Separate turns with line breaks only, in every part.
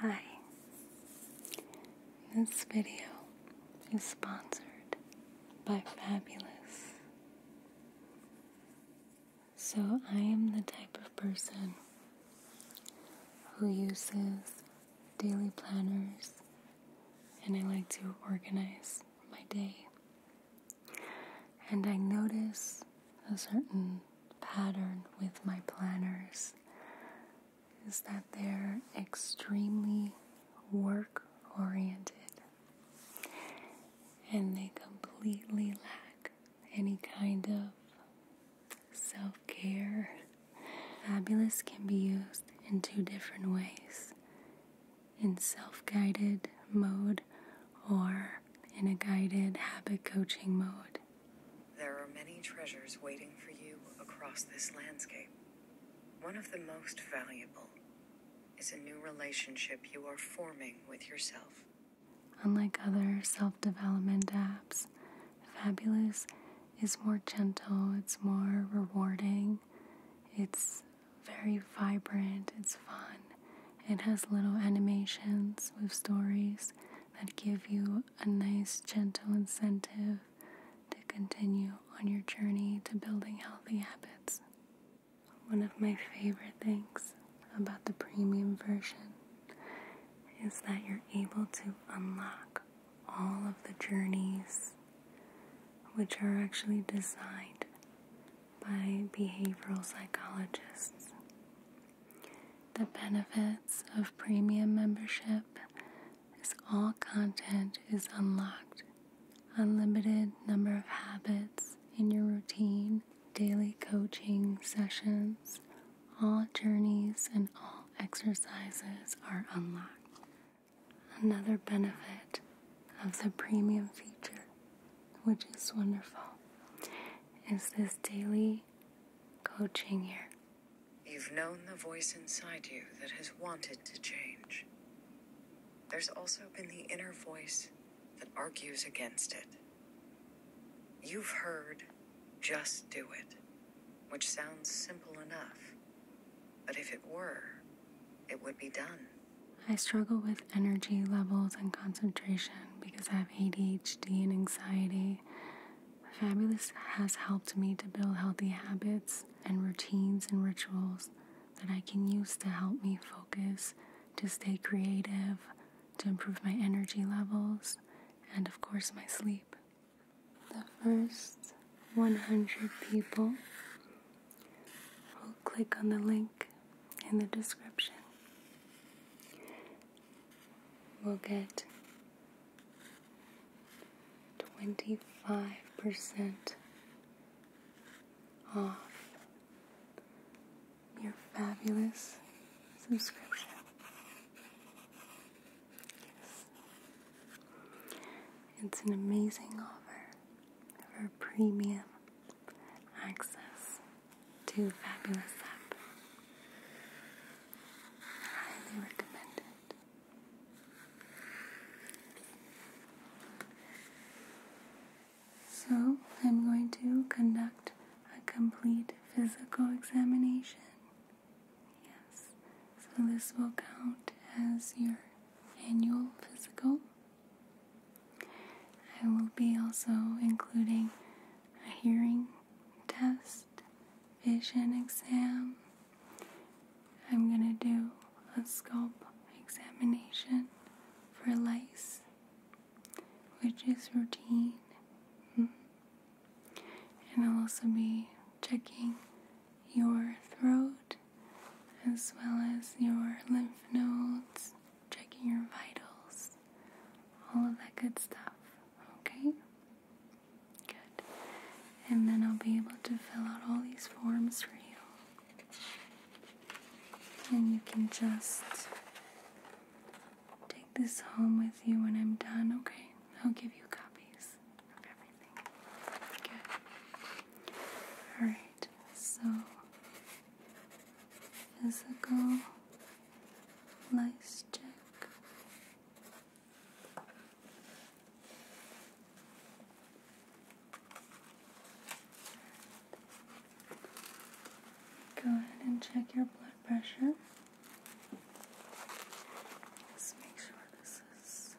Hi. This video is sponsored by Fabulous. So, I am the type of person who uses daily planners and I like to organize my day. And I notice a certain pattern with my planners is that they're extremely work oriented and they completely lack any kind of self care. Fabulous can be used in two different ways in self guided mode or in a guided habit coaching mode.
There are many treasures waiting for you across this landscape. One of the most valuable is a new relationship you are forming with yourself.
Unlike other self development apps, Fabulous is more gentle, it's more rewarding, it's very vibrant, it's fun, it has little animations with stories that give you a nice, gentle incentive to continue on your journey to building healthy habits. One of my favorite things about the premium version is that you're able to unlock all of the journeys which are actually designed by behavioral psychologists. The benefits of premium membership is all content is unlocked. Unlimited number of habits in your routine, daily coaching sessions, all journeys and all exercises are unlocked. Another benefit of the premium feature, which is wonderful, is this daily coaching here.
You've known the voice inside you that has wanted to change. There's also been the inner voice that argues against it. You've heard, just do it, which sounds simple enough. But if it were, it would be done.
I struggle with energy levels and concentration because I have ADHD and anxiety Fabulous has helped me to build healthy habits and routines and rituals that I can use to help me focus, to stay creative, to improve my energy levels, and of course, my sleep. The first 100 people will click on the link in the description will get 25% off your fabulous subscription. It's an amazing offer for premium access do Fabulous Up. highly recommend So, I'm going to conduct a complete physical examination. Yes, so this will count as your annual physical. I will be also including a hearing test, vision exam. I'm going to do a scalp examination for lice, which is routine. And I'll also be checking your throat as well as your lymph nodes, checking your vitals, all of that good stuff. Okay? Good. And then I'll be able to fill out all these forms for you. And you can just take this home with you when I'm done, okay? I'll give you copies of everything. Good. Alright, so physical Nice check. Go ahead and check your blood pressure.
Let's make sure this is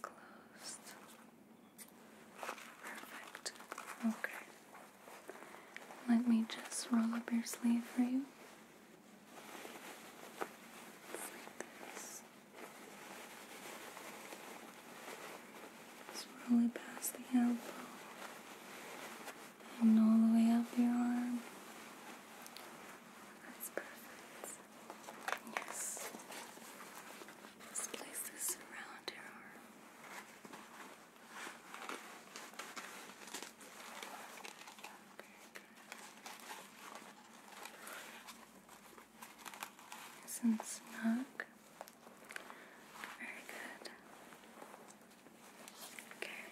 closed. Perfect. Okay. Let me just roll up your sleeve for you. like this. roll it past the elbow and all the way up your arm. That's perfect. Yes. place this around your arm. Nice and snug. Very good. Okay.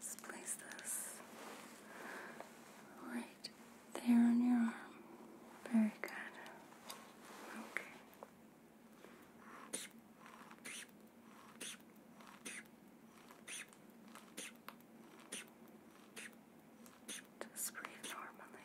Just place this right there on your arm. Very good. Okay. Just
breathe normally.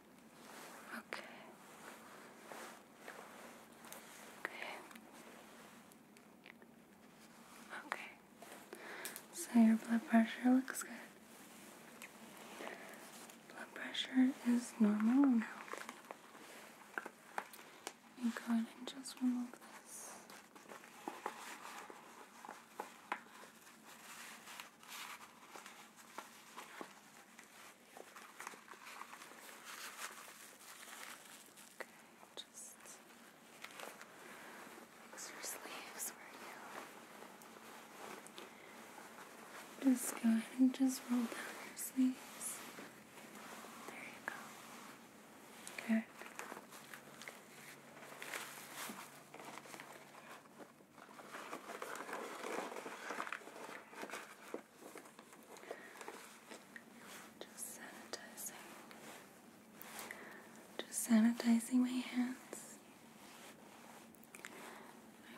Okay. Okay. Okay. So your blood pressure looks good. Blood pressure is normal now. You go ahead and just remove this.
Okay, just your sleeves where
you just go ahead and just roll down your sleeves. There you go. Okay. Just sanitizing. Just sanitizing my hands.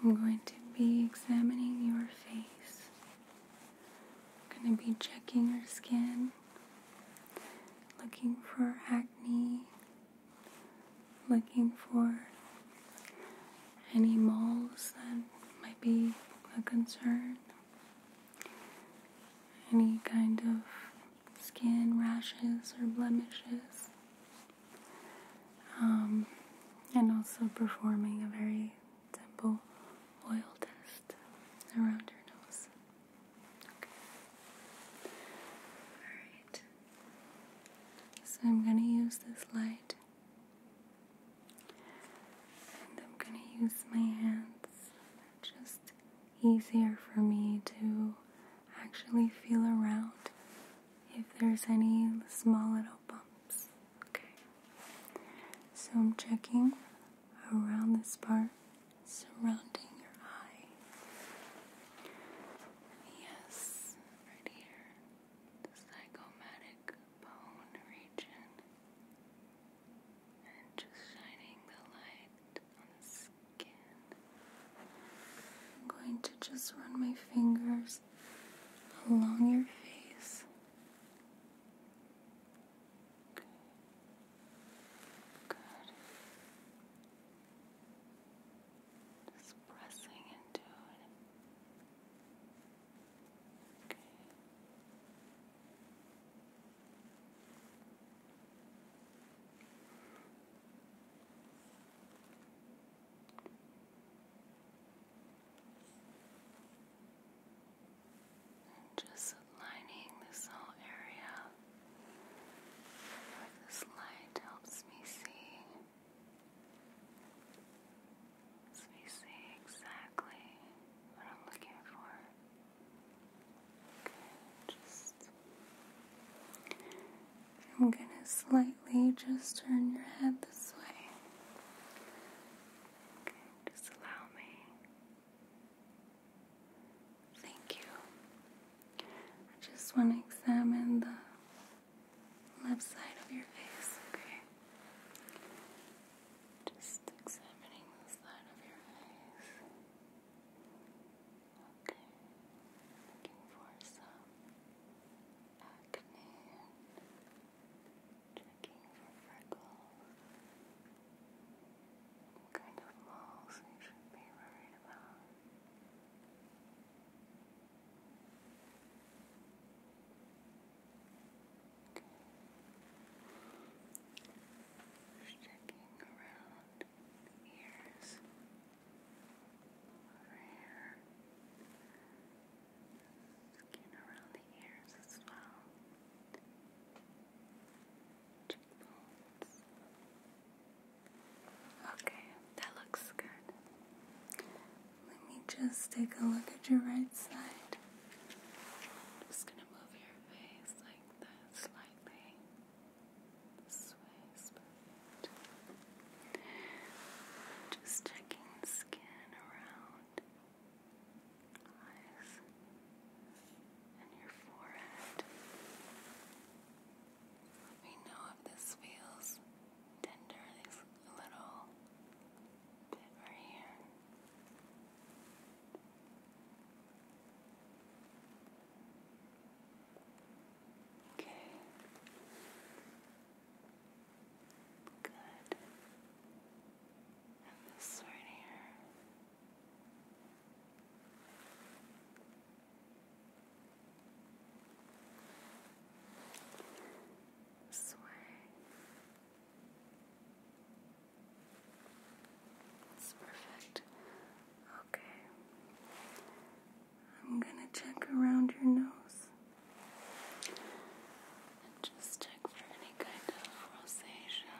I'm going to be examining your face. I'm going to be checking your skin, looking for acne, looking for any moles that might be a concern, any kind of skin rashes or blemishes, um, and also performing a very simple oil test around your nose. Okay. Alright. So I'm going to use this light and I'm going to use my hands. just easier for me to actually feel around if there's any small little bumps. Okay. So I'm checking around this part surrounding your eye. Yes, right here. The psychomatic bone region and just shining the light on the skin. I'm going to just run my fingers along your face. Good. Good. Just pressing into it. Okay. And just lining this whole area
with this light helps me see. Let me see exactly what I'm looking
for. Okay, just I'm gonna slightly just turn your head this way. Okay, just allow me. Thank you. just want to examine the left side of your face, okay? Just examining the side of your face. Okay. Looking for some acne checking for freckles. kind of moles you should be worried about? Just checking around the ears over here. Skin around the ears as well. Cheekbones. Okay, that looks good. Let me just take a look at your right side. just gonna move your face like that
slightly. This way Just checking skin around eyes
and your forehead. Let me know if this feels tender little bit right here. Okay.
Good. And this right here sway. That's perfect. Okay.
I'm gonna check around your nose and just check for any kind of rosacea.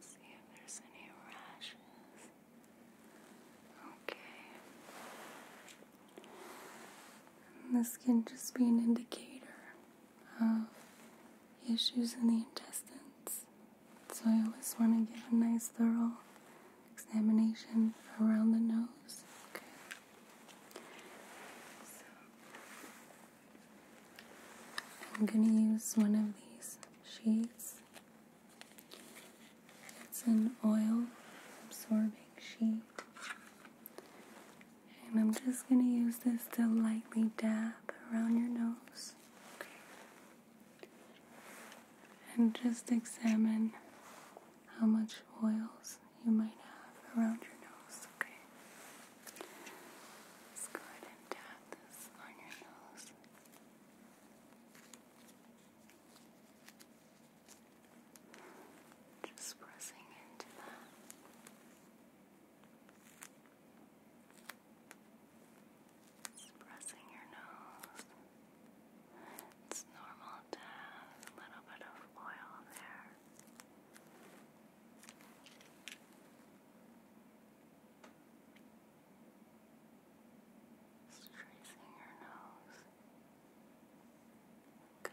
See if there's any rashes. Okay.
And this can just be an indicator of issues in the intestines. So I always want to give a nice thorough examination around the nose. Okay. So I'm going to use one of these sheets it's an oil absorbing sheet. And I'm just going to use this to lightly dab around your nose. And just examine how much oils you might have around your nose. Okay. let go ahead and dab this on your nose.
Just pressing into that. Just pressing your nose. It's normal to have a little bit of oil there. Just tracing your nose. Okay.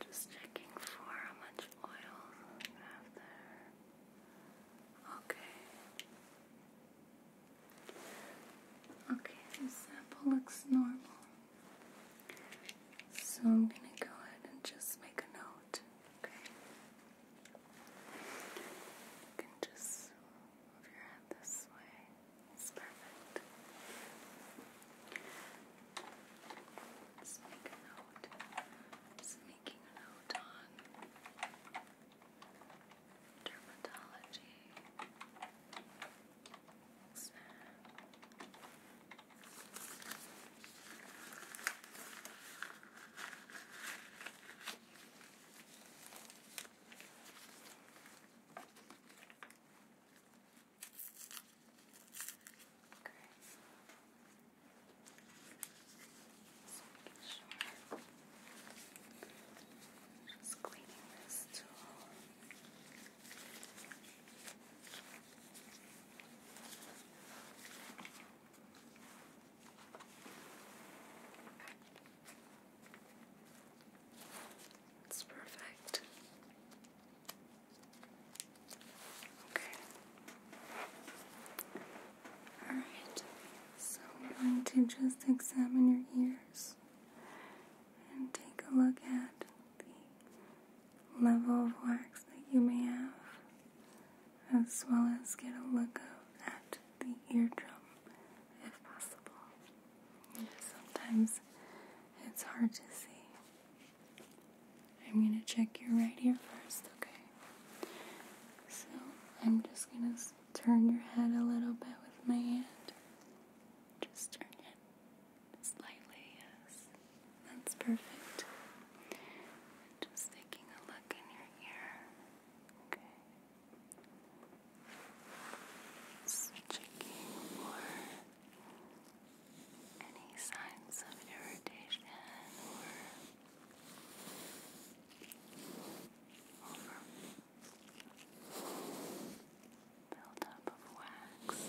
Just checking for how much oil you have there.
Okay. Okay, the sample looks normal. So I'm gonna go ahead and just make a note. Okay.
You can just move your head this way. It's perfect. Let's make a note. Just making a note on dermatology. Let's sure.
Just cleaning this tool. It's perfect. Okay. Alright, so I'm going to just examine your ears and take a look at the level of wax that you may have, as well as get a look at the eardrum if possible. Sometimes it's hard to see. I'm gonna check your right ear first, okay? So I'm just gonna turn your head a little bit with my hand. Just turn it slightly, yes. That's perfect. Just taking a look in your ear, okay?
Just checking for any signs of irritation or over buildup of wax.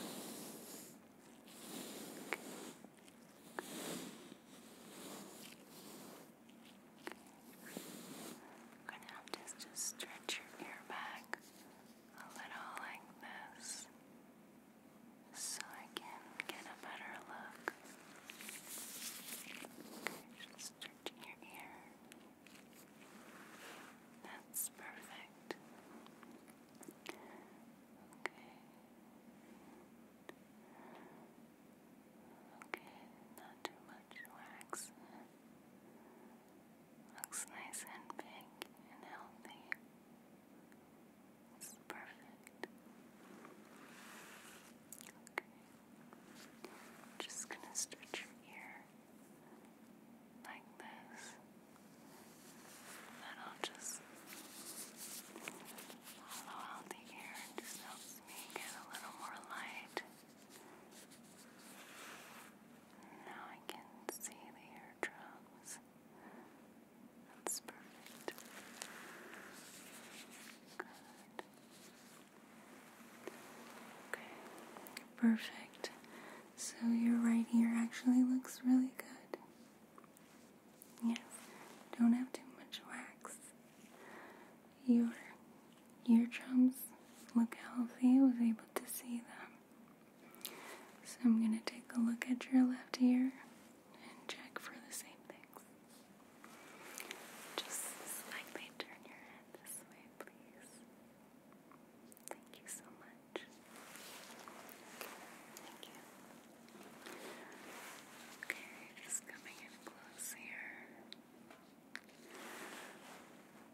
I'm gonna have to just stretch your ear back a little like this so I can get a better look. Okay, your ear. That's perfect. Okay. Okay, not too much wax. Looks nice and big and healthy. It's perfect. Okay. Just gonna stretch your ear like this. And I'll just follow out the ear. just helps me get a little more light. Now I can see the eardrums. That's perfect. Good.
Okay, perfect. So your right ear actually looks really good. Yes, don't have too much wax. Your ear drums look healthy. I was able to see them. So I'm going to take a look at your left ear and check for the same things. Just slightly turn your head this way, please. Thank you so much.
Thank you. Okay, just coming in close here.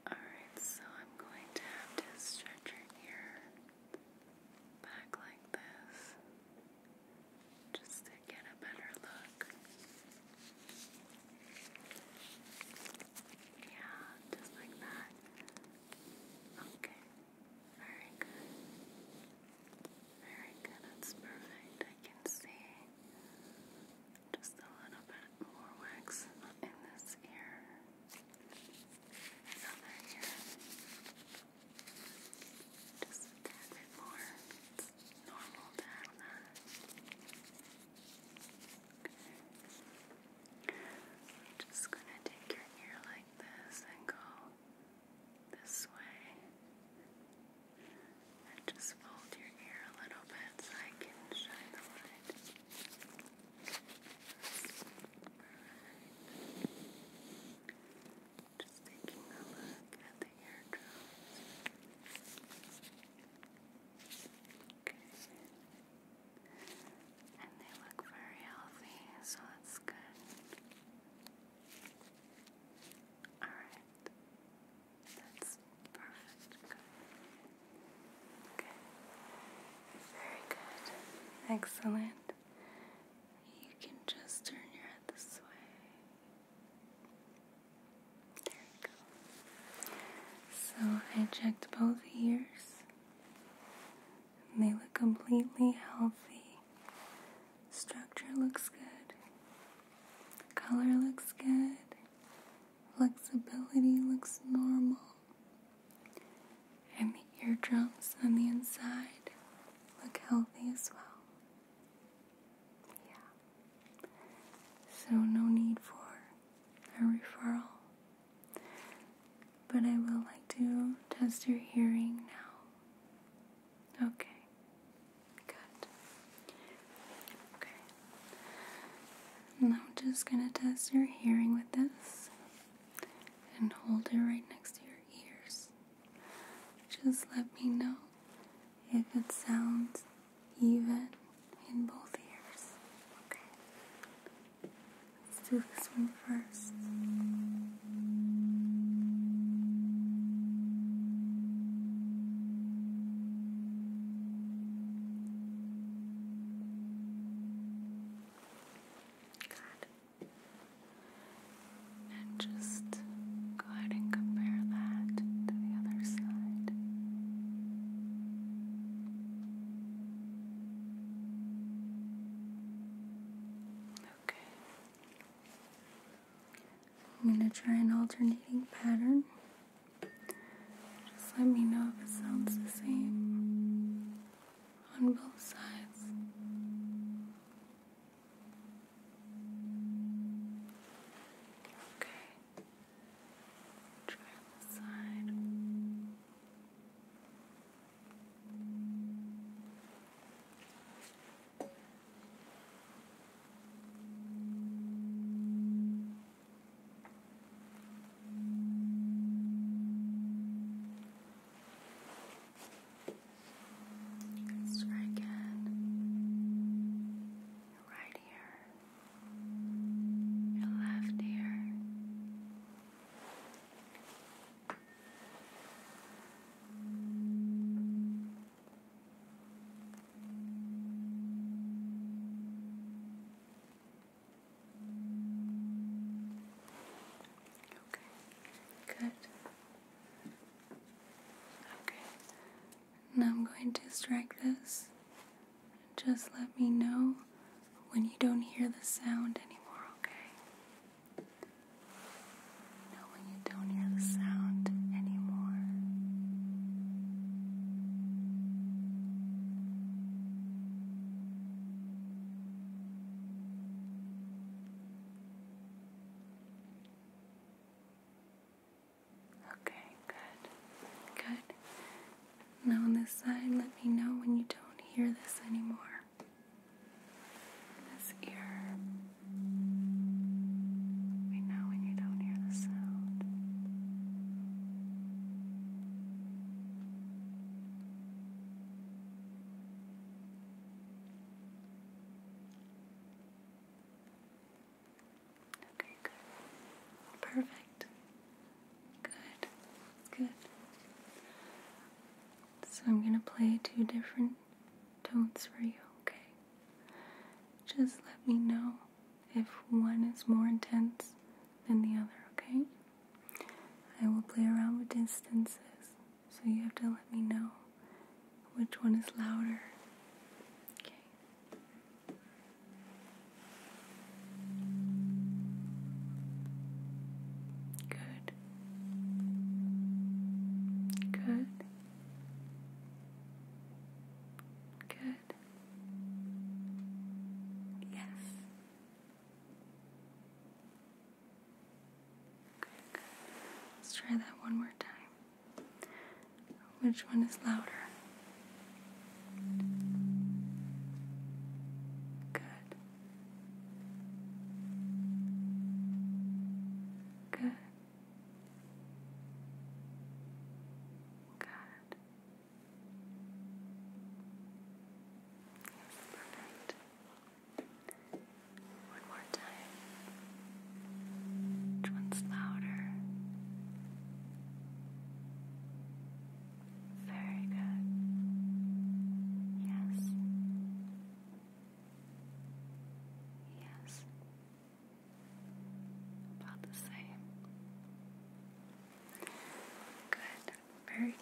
Alright, so I'm going to have to stretch your ear back like this just to get a better look. Yeah, just like that. Okay, very good. Very good, that's perfect. I can see just a little bit more wax in this ear. Over here. Just take your ear like this and go this way. And just fold your ear a little bit so I can shine the light. Just taking a look at the eardrums. Okay. And they look very healthy, so that's good. Alright. That's
perfect. Good. Okay. Very good. Excellent. You can just turn your head this way. There you go. So I checked both ears, they look completely healthy. Structure looks good, color looks good, flexibility looks normal and the eardrums on the inside look healthy as well. Yeah. So, no need for a referral. But I will like to test your hearing now. Okay. Good. Okay. Now I'm just going to test your hearing with this and hold it right next to your ears. Just let me know if it sounds even in both ears.
Okay. Let's do this one first. God.
And just go ahead and compare that to the other side. Okay. I'm going to try an alternating pattern. Just let me know if it sounds the same on both sides.
Okay. Try this side. Let's try again. Your left ear.
Okay, good. Okay, now I'm going to strike this. Just let me know when you don't hear the sound anymore, okay? Know when you don't hear the sound anymore. Okay, good. Good. Now on this side, let me know when you don't hear
this anymore. This ear. Let me know when you don't hear the sound.
Okay, good. Perfect. Good. Good. So I'm going to play two different tones for you, okay? Just let me know if one is more intense than the other, okay? I will play around with distances, so you have to let me know which one is louder. Okay. Good. Good. Good. Yes. Let's try that one more time. Which one is louder? Good. Good. Good. Yes,
one more time. Which one's louder? Very good. Yes. Yes. About the same. Good. Very good.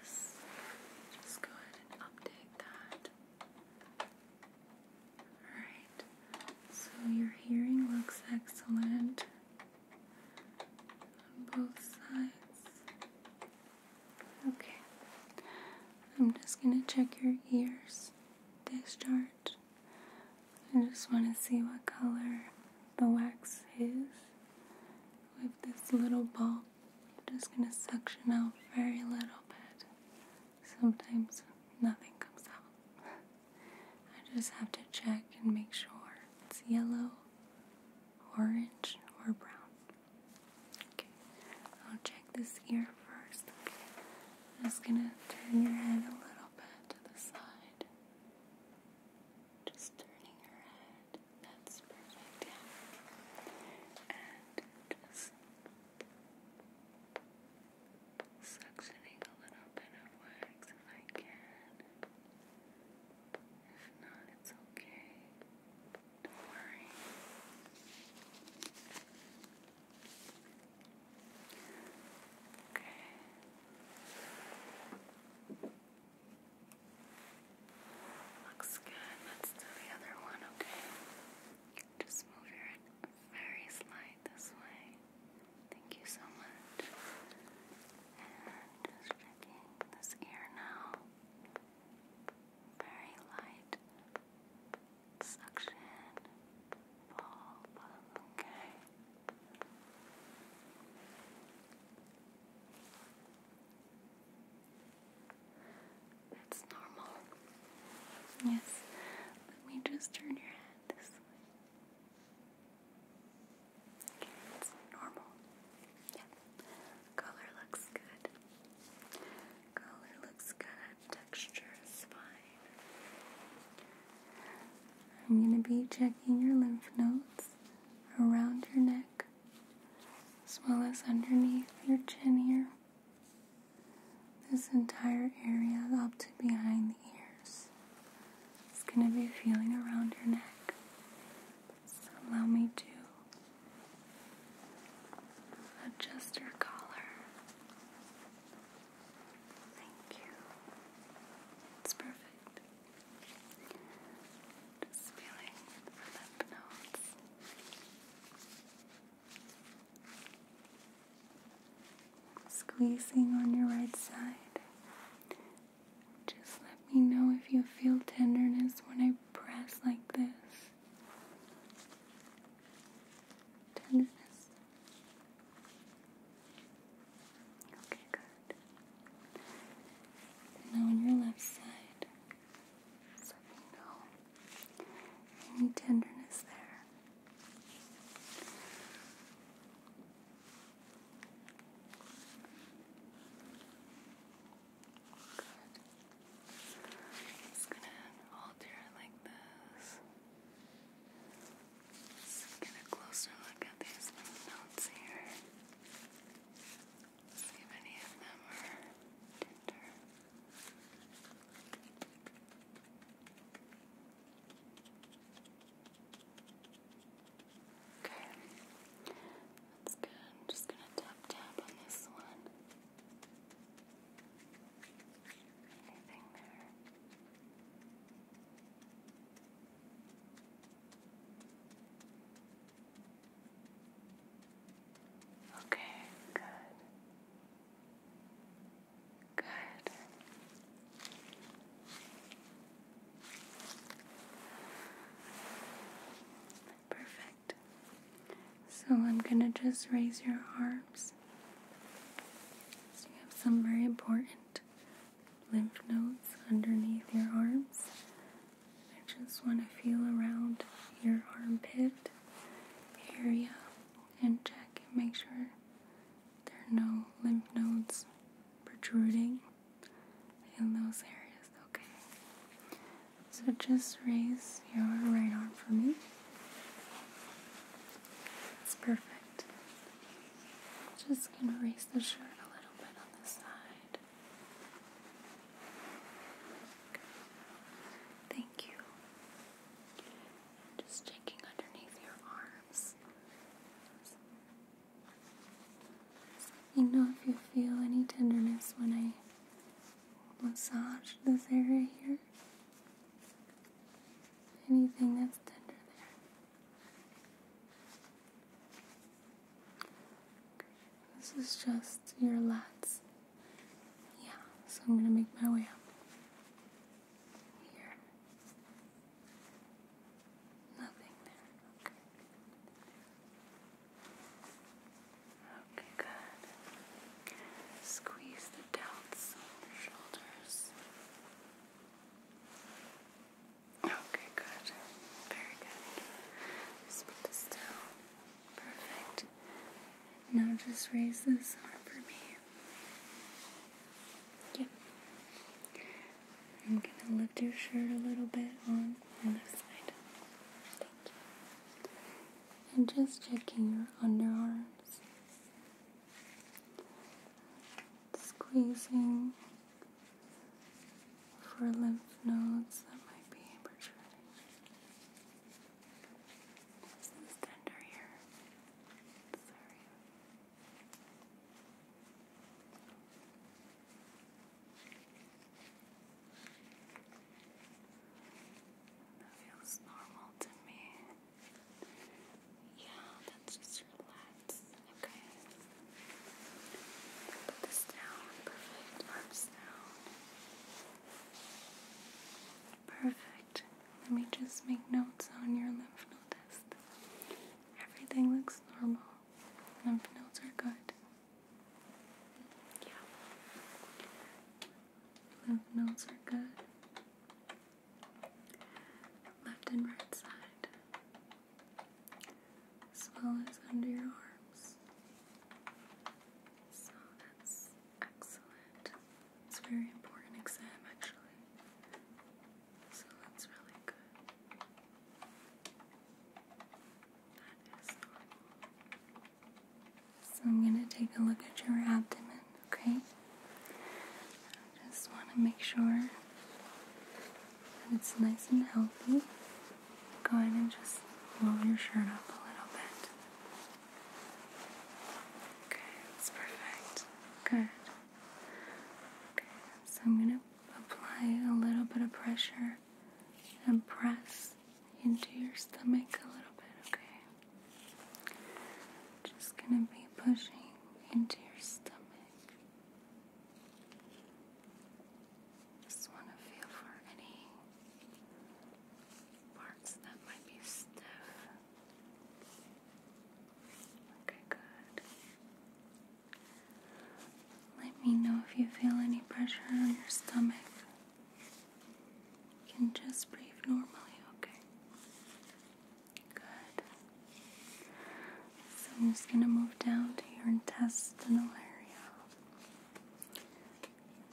Yes. Just go ahead and
update that. Alright. So your hearing looks excellent on both sides. Okay. I'm just going to check your ears. Discharge. I just want to see what color the wax is this little ball. just going to suction out very little bit. Sometimes nothing comes out. I just have to check and make sure it's yellow, orange, or brown. Okay, I'll check this ear first. just going to turn your head a little bit to the side.
Just turning your head. That's perfect, yeah. And just suctioning a little bit of wax if I can. If not, it's okay. Don't worry. Okay. Looks good. Let's do the other
one, okay? Just move your head very slight this way. Thank you
so much. And just checking this ear now. Very light suction. Bulb. Okay.
That's normal. Yes, let me just turn your head this way. it's normal. Yeah, color looks good. Color looks good. Texture is fine. I'm going to be checking your lymph nodes around your neck as well as underneath your chin here. This entire area up to behind the ears it's going to be feeling around your neck. So allow me to adjust your collar. Thank you. It's perfect. Just feeling the lymph Squeezing on your right side. Just let me know if you feel tenderness when I press like this. Tenderness. Okay, good. Now on your left side, so you any tenderness there.
Good. gonna alter it like this. Let's get a closer look at these lymph nodes here see if Okay, that's good. just gonna tap tap on this one. Anything there? Okay, good. Good.
Perfect. So I'm going to just raise your arms. So you have some very important lymph nodes underneath your arms. I just want to feel around your armpit area and check and make sure there are no lymph nodes protruding in those areas, okay? So just raise your right arm for me. That's perfect. Just gonna raise the shirt a little bit on the side.
Thank you. Just
checking underneath your arms. You know if you feel any tenderness when I massage this area here. Anything that's tender there. This is just your lats. Yeah, so I'm gonna make my way up. Here. Nothing there. Okay. good. Squeeze the delts, shoulders. Okay, good. Very good. Just put this down. Perfect. Now just raise this arm for me. Yep. I'm gonna lift your shirt a little bit on the other side. Thank you. And just checking your underarms. Squeezing for lymph nodes that might be protruding. This is tender here. This
That feels normal to me. Yeah, that's just relaxed. Okay. Put this down. Perfect. Arms down.
Perfect. Let me just make notes on your lymph node Everything looks normal. Lymph nodes are good. Yeah. Lymph nodes are good. Left and right side as well as under your arms. So that's excellent. It's very important exam, actually. So that's really good. That is normal. So I'm going to take a look at your abdomen, okay? I just want to make sure and it's nice and healthy, go ahead and just roll your shirt up a little bit. Okay, that's perfect. Good. Okay, so I'm going to apply a little bit of pressure and press into your stomach a little bit, okay? Just gonna be pushing into your stomach. Just want to feel for any parts that might be stiff. Okay, good. Let me know if you feel any pressure on your stomach. You can just breathe normally, okay? Good. So I'm just going to move down to your intestinal
area.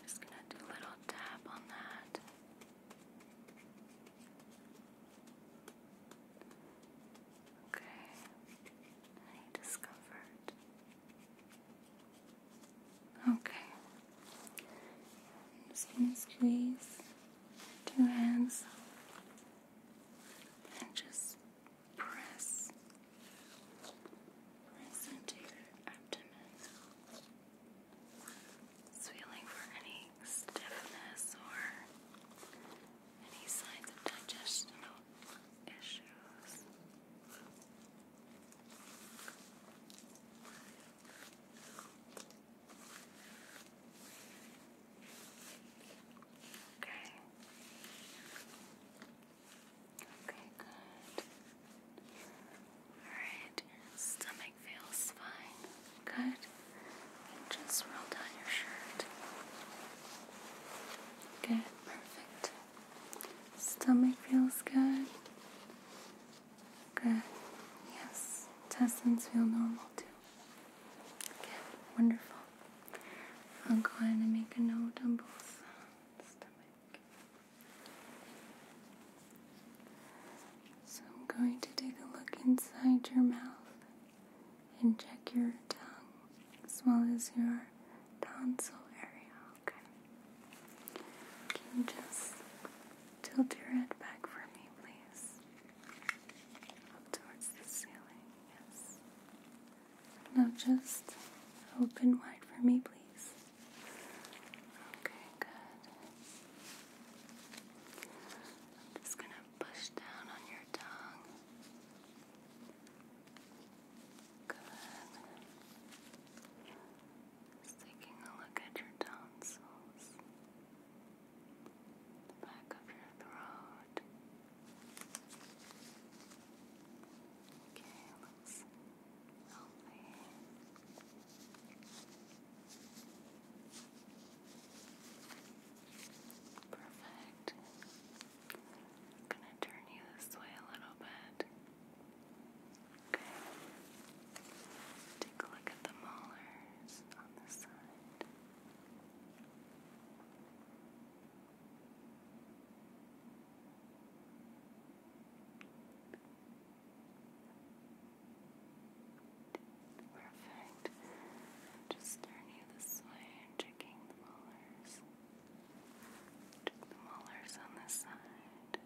just going to do a little tap on that.
Okay. discomfort? Okay. just going to squeeze two hands and just
press, press into your abdomen. feeling for any stiffness or any signs of digestional issues. Okay. Okay, good. Alright, stomach feels fine. Good. just roll down your shirt. Good,
perfect. Stomach feels good. Good. Yes. Intestines feel normal too. Okay. Wonderful. I'll go ahead make a note on both So I'm going to take a look inside your mouth and check your tongue as well as your tonsil area. Okay. Can you just tilt your head back for me, please? Up towards the ceiling, yes. Now just open wide for me, please. Okay, good.
I'm just going to push down on your tongue. Good. Just taking a look at your tonsils, the back of your throat. Okay, looks lovely. Perfect. I'm gonna turn you this way a little bit. Okay. Take a look at the molars on the side. Perfect. Just turn you this way checking the molars. Check the molars on this side. Okay, good.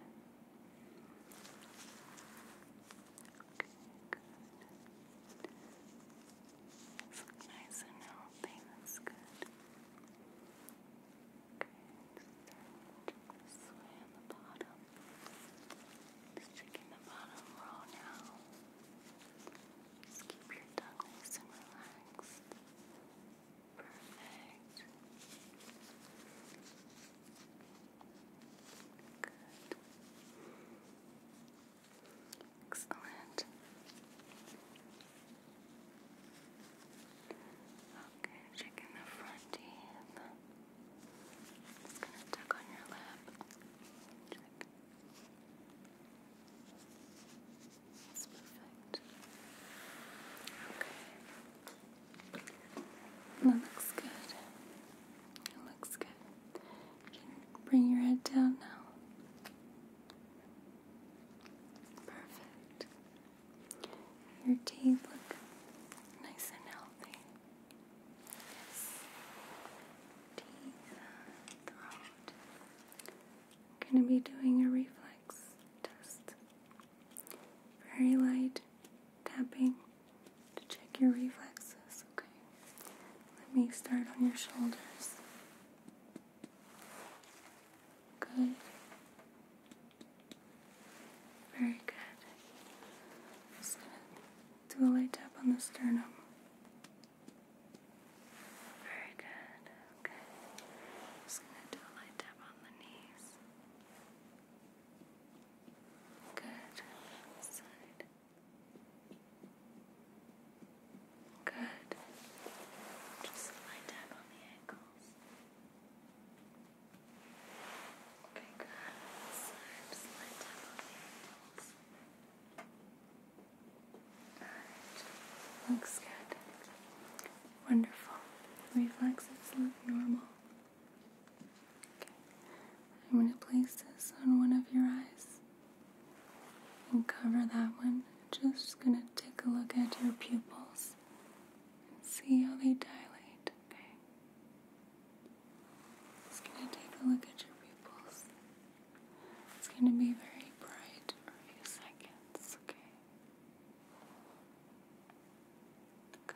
It's nice and healthy, that's good. Okay, just this on the bottom. Just checking the bottom row now. Just keep your tongue nice and relaxed. Perfect. Good.
Excellent. Okay, checking the front teeth. Just gonna tuck on your lip. perfect. Okay. That looks good. It looks good. You can bring your head down now. Perfect. Your teeth look nice and healthy. Yes. Teeth, throat. going to be doing a reflex test. Very light tapping to check your reflexes. Okay. Let me start on your shoulders. Good. Very good. Just gonna do a light tap on the sternum. Very good. Okay. Just gonna do a light tap on the knees. Good. Side. Good. Just lie down on the ankles. Okay, good. just lie down on the ankles. Looks good. Wonderful. Reflexes look normal. Okay. I'm going to place this on one of your eyes we cover that one. Just gonna take a look at your pupils and see how they dilate. Okay. Just gonna take a look at your pupils. It's gonna be very bright a few seconds, okay? Good.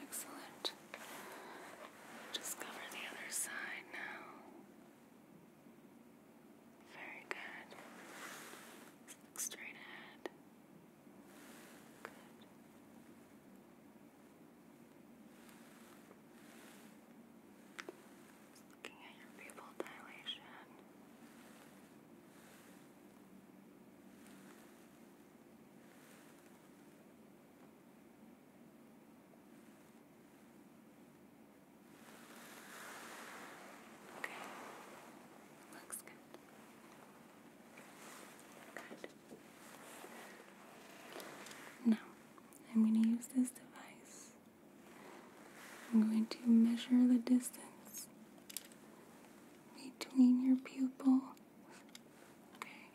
Excellent. Just the
other side now. Very good. look straight ahead. Good. looking at your pupil dilation.
Okay. Looks good. Good. Now, I'm going to use this device. I'm going to measure the distance between your pupil Okay?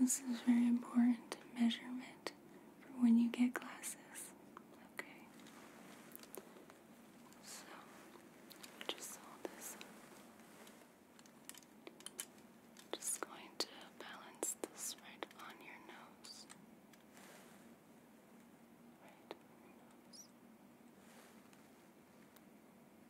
This is very important measurement for when you get glasses. Okay? So, just hold this Just
going to balance this right on your nose. Right on your nose. And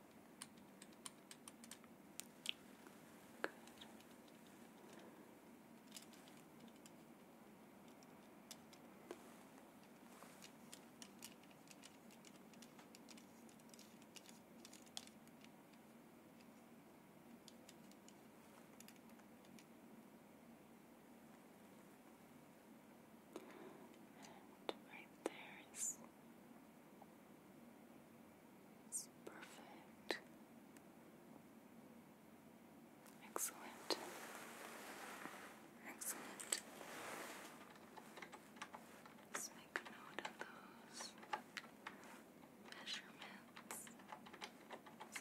right there is it's perfect. Excellent. Excellent. Let's make a note of those measurements.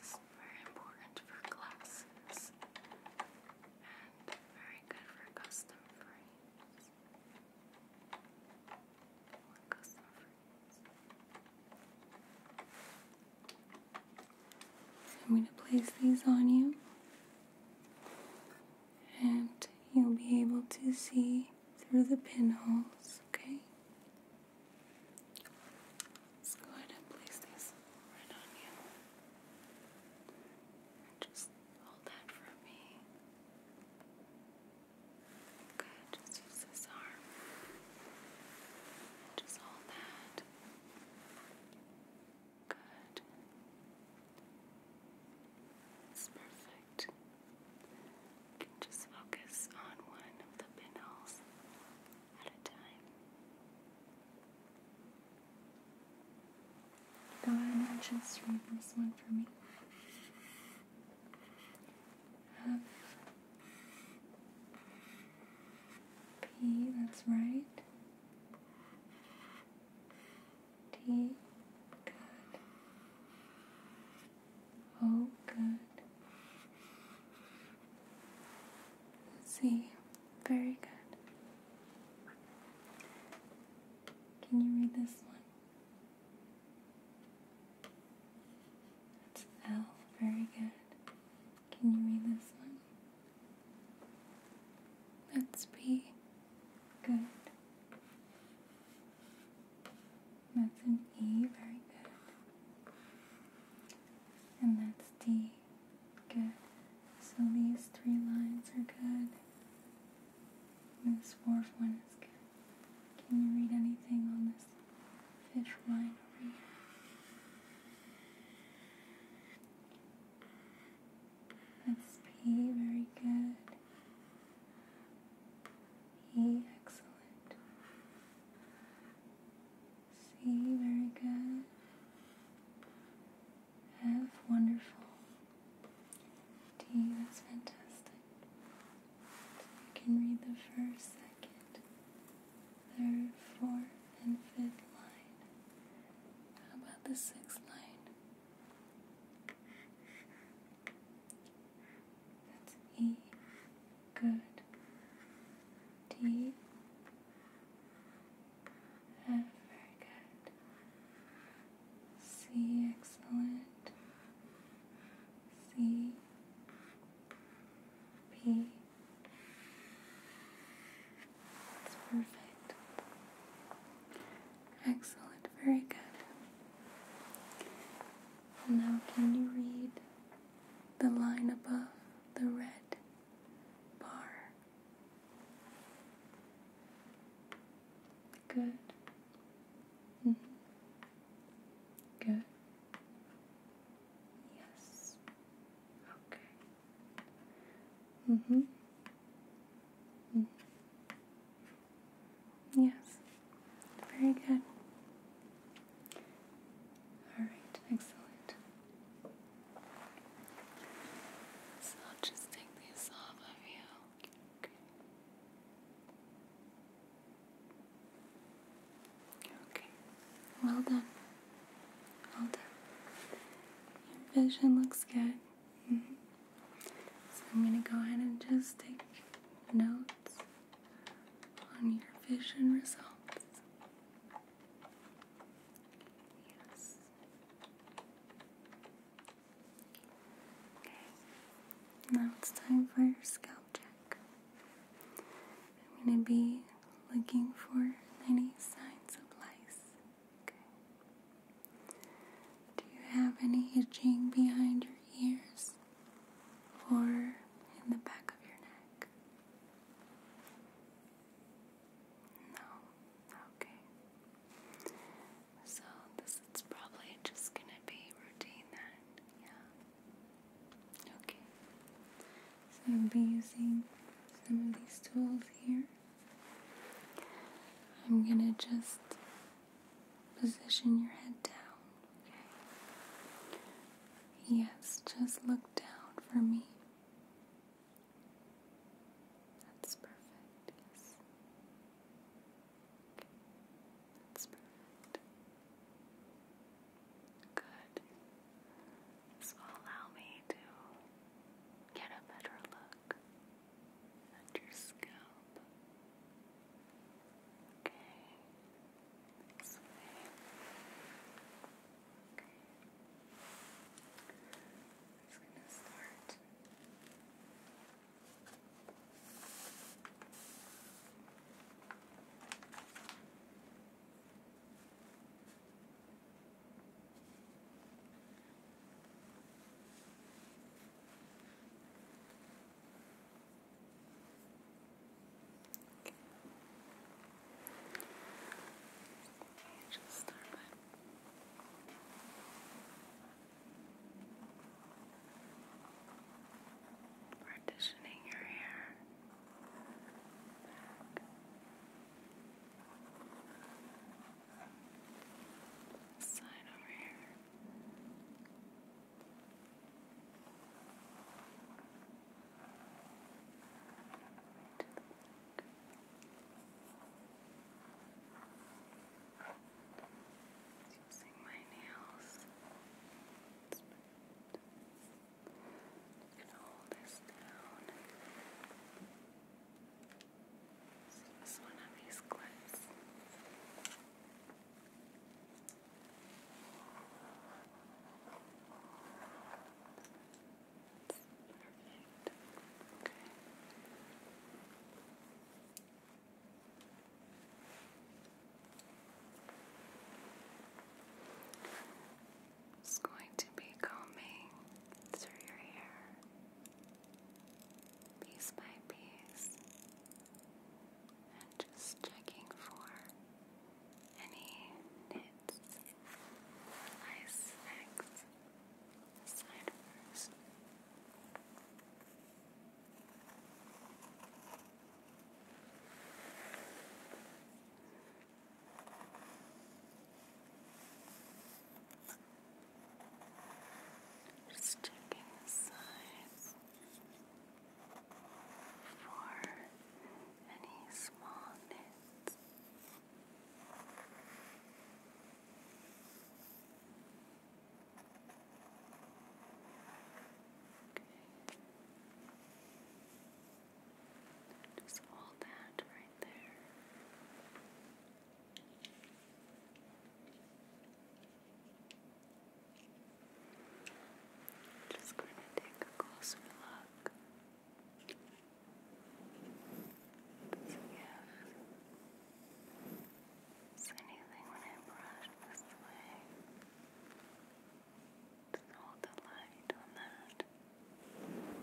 This very important for glasses and very good for custom frame.
I'm going to place these on you, and you'll be able to see through the pinholes, okay? Let's go ahead and place these right on you. Just hold
that for me. Good, just use this arm. just hold that. Good. It's perfect. You can just focus on
one of the pinholes at a time. Don just read this one for me. P, that's right. T, good. O, good. see. very good. Can you read this one? That's L. Very good. Can you read this one? That's B. Good. That's an E. Very good. And that's D. Good. So these three lines are good. This dwarf one is good. Can you read anything on this fish line over here? That's very good. E, excellent. C, very good have wonderful tea. That's fantastic. So you can read the first, second, third, fourth, and fifth
line. How about the sixth line?
That's E. Good. D. F. Very good. C, excellent. C, P. That's perfect. Excellent, very good. Now, can you read the line above the red bar? Good. Mm -hmm. Good. Yes. Okay. Mm-hmm. -hmm. Yes. Very good. All right,
excellent. So I'll just take these off of you.
Okay. Well done. Well done. Your vision looks good. Mm-hmm. I'm going to go ahead and just take notes on your vision results. Yes. Okay, now it's time for your scalp check. I'm going to be looking for any signs of lice. Okay. Do you have any itching behind your ears or in the back of your neck? No. Okay. So this is probably just gonna be routine then, yeah. Okay. So I'll be using some of these tools here. I'm gonna just position your head down, okay? Yes, just look down for me. That's perfect. Yes.
That's perfect. Good. This allow me to get a better look at your scalp. Okay. Okay. I'm just gonna start Okay, just start by Partitioning your hair Side over here. Using my nails.
You can hold this down. This is one of these clips. Perfect. Okay. It's going to be combing
through your hair piece by piece and just checking for any knits, ice eggs, this side the size for any small nits. Okay. Just hold that right there. Just going to take a closer look. So, yeah. Is anything when I brush this way? Just hold the light on that. Okay.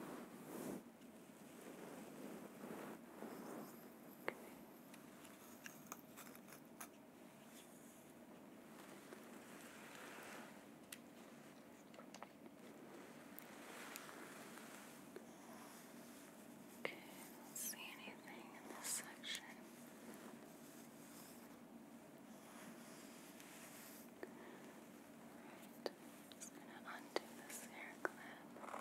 Okay, do see anything in this section. just gonna undo this hair clip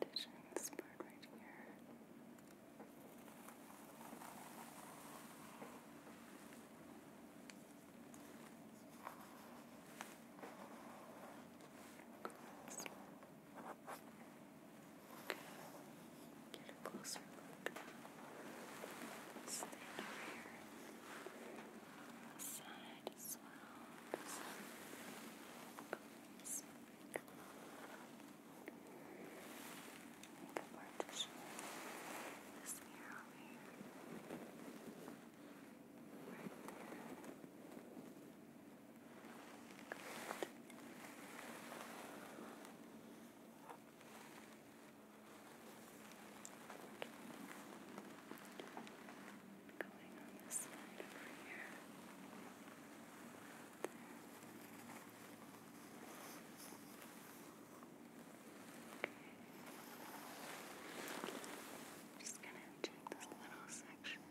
partition this part right here. Get a closer look. Stand here. Side swirls, sprinkle the partition, this mirror over here, right there going on Just gonna do this little section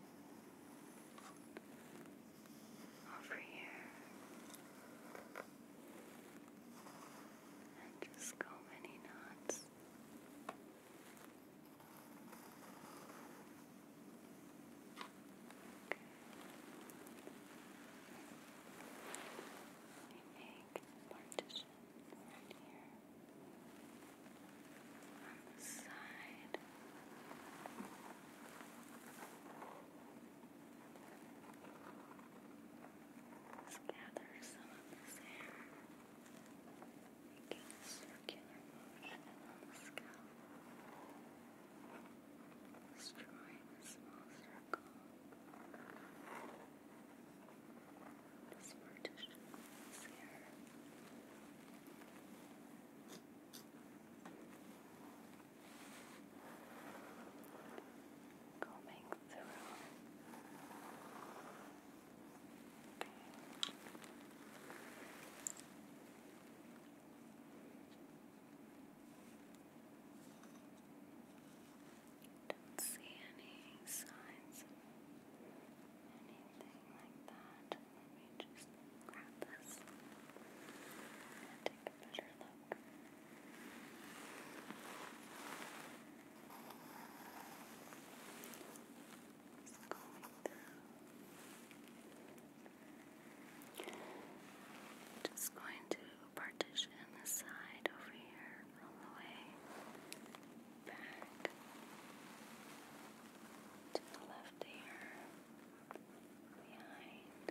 over here.
And just go many knots make partition right here on the side.
Let's gather some of this hair. Just making a circular motion on the scalp, just drawing a small circle. This partition is here. Combing through don't see any signs of anything like that. Let me just grab this and take a better look is going Just going to partition the side over here all the way
back to the left ear, behind,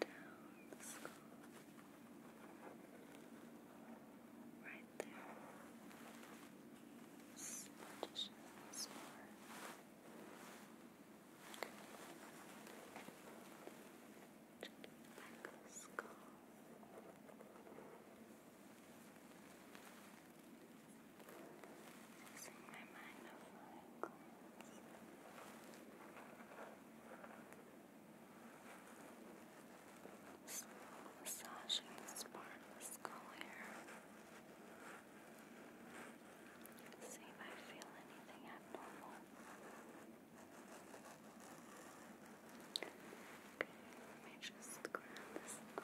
down the skull. Right there. Partitions are checking skull.
Using my mind of my Massaging this part of the skull here. See if I feel anything abnormal. Okay, let me just grab this this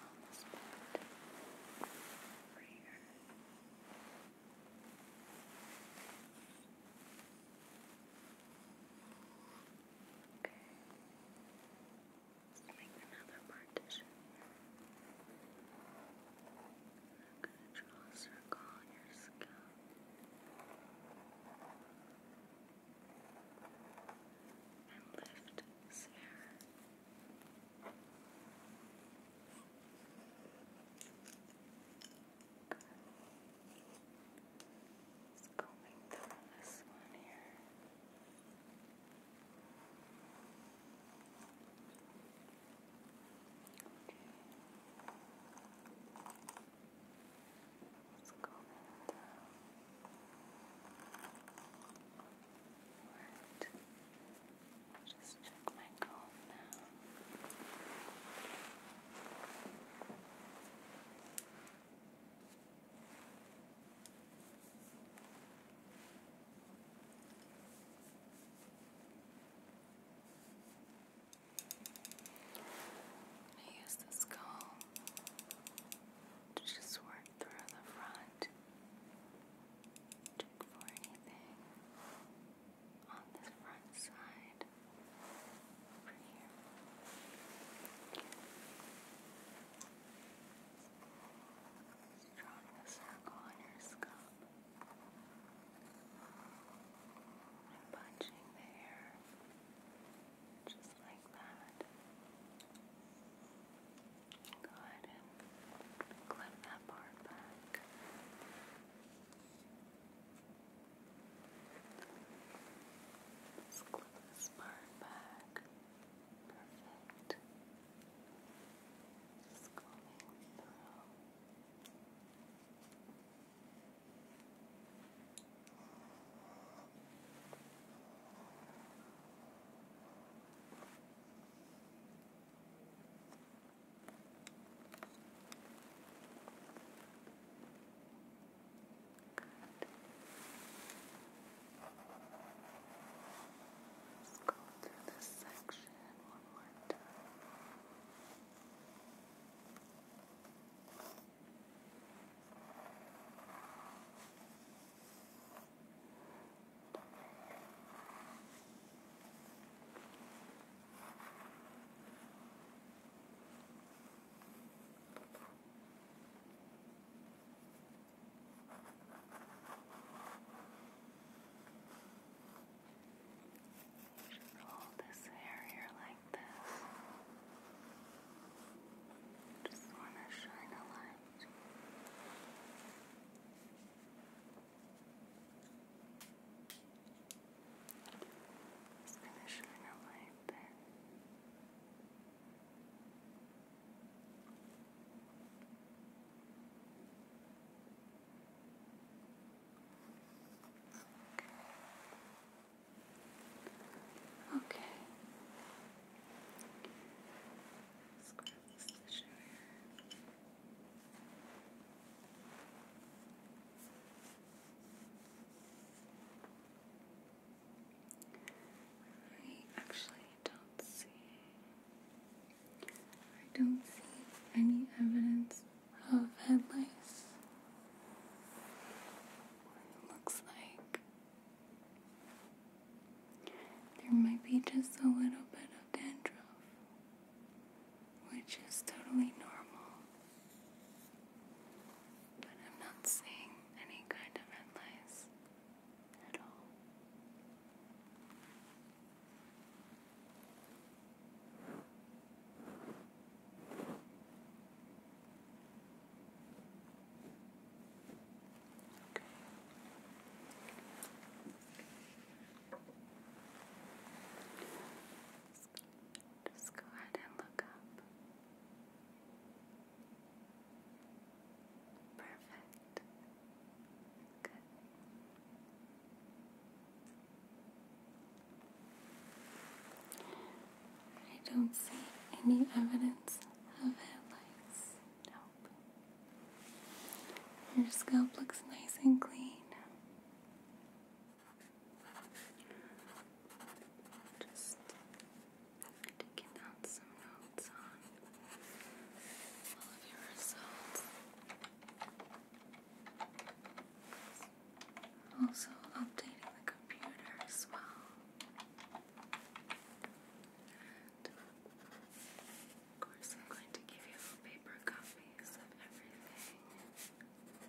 on the spot. Over here. Okay. Let's make another partition. I'm going to draw a circle on your scalp. And lift this just combing through this one here. Let's go that Alright. Just check my use this comb to just work through the front, check for anything on this front
side over here. Just a circle on your scalp. And punching the hair just like that. Go ahead and clip that part back. Let's clip this part back. Perfect. Just combing through. Let's go through this section one more time. Okay. All this hair here like this. Just want to shine a light. Just gonna shine a light Okay. Let's grab this tissue here. I actually don't see. I don't see any evidence of head lice. It looks like there might be just a little bit of dandruff which is totally normal. But I'm not seeing any kind of red lice at all. Just, go ahead and look up. Perfect. Good. I don't see any evidence of headlights. Nope. Your scalp looks nice and
clean. Just taking out some notes on all of
your results. Also updating the computer as well. of
course, I'm going to give you paper copies of everything.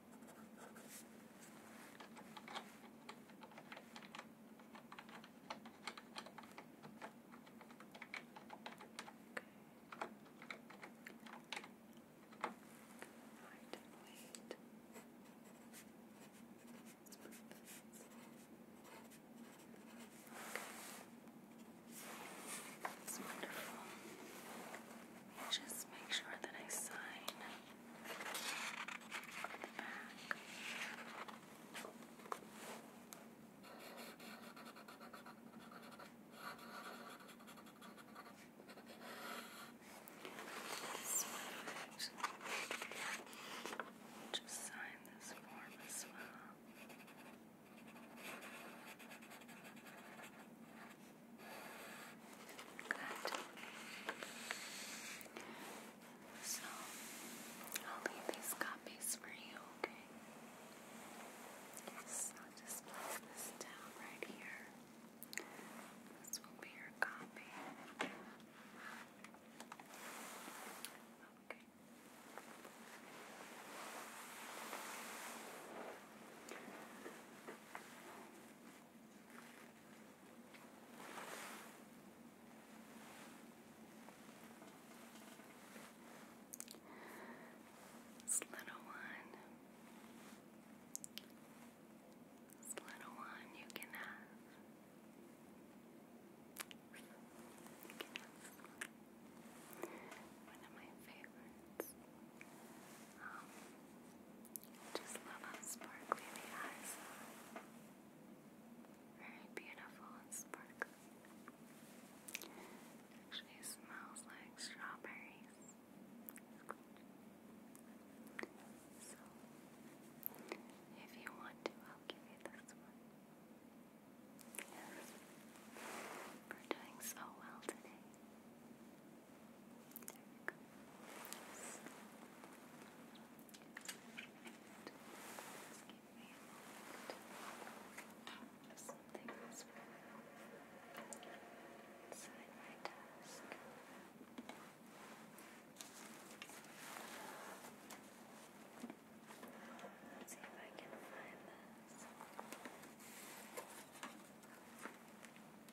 wait. Let's put this. Okay. That's wonderful just make sure that I sign the back. Just sign this form as well.
Good. So, I'll leave these copies for you, okay? Yes, I'll just place this down right here. This will be your copy. Okay.
This little one, this little one you can have. one of my favorites. Um, just love how sparkly the eyes are. Very beautiful and sparkly. Actually smells like strawberries. So, if you want to, I'll give you this one. Yes, we're doing so well today. There we go. Yes. And give me a moment if something is wrong inside my desk. Let's see if I can find this.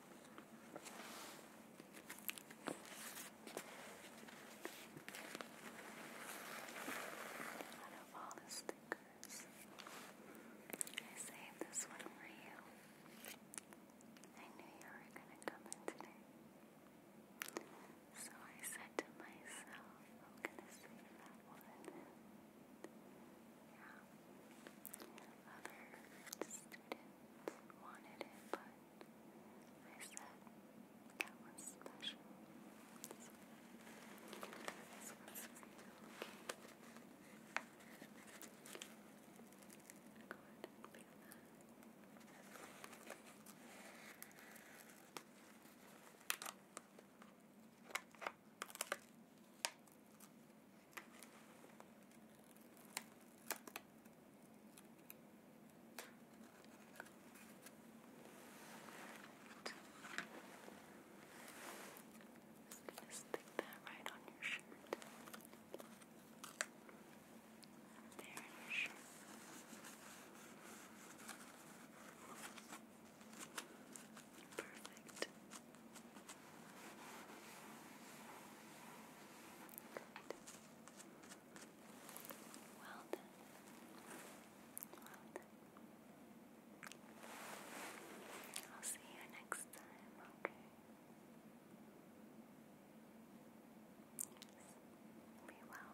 Out of all the stickers, I saved this one for you. I knew you were gonna come in today. So I said to myself, I'm gonna save that one. Yeah. Other students wanted it, but I said that one's special. This, one. this one's for you, okay? Go ahead and pick that. Okay. Just gonna stick that right on your shirt. There in your shirt. Perfect. Well done. Well done. I'll see you next time, okay? Yes. Be well.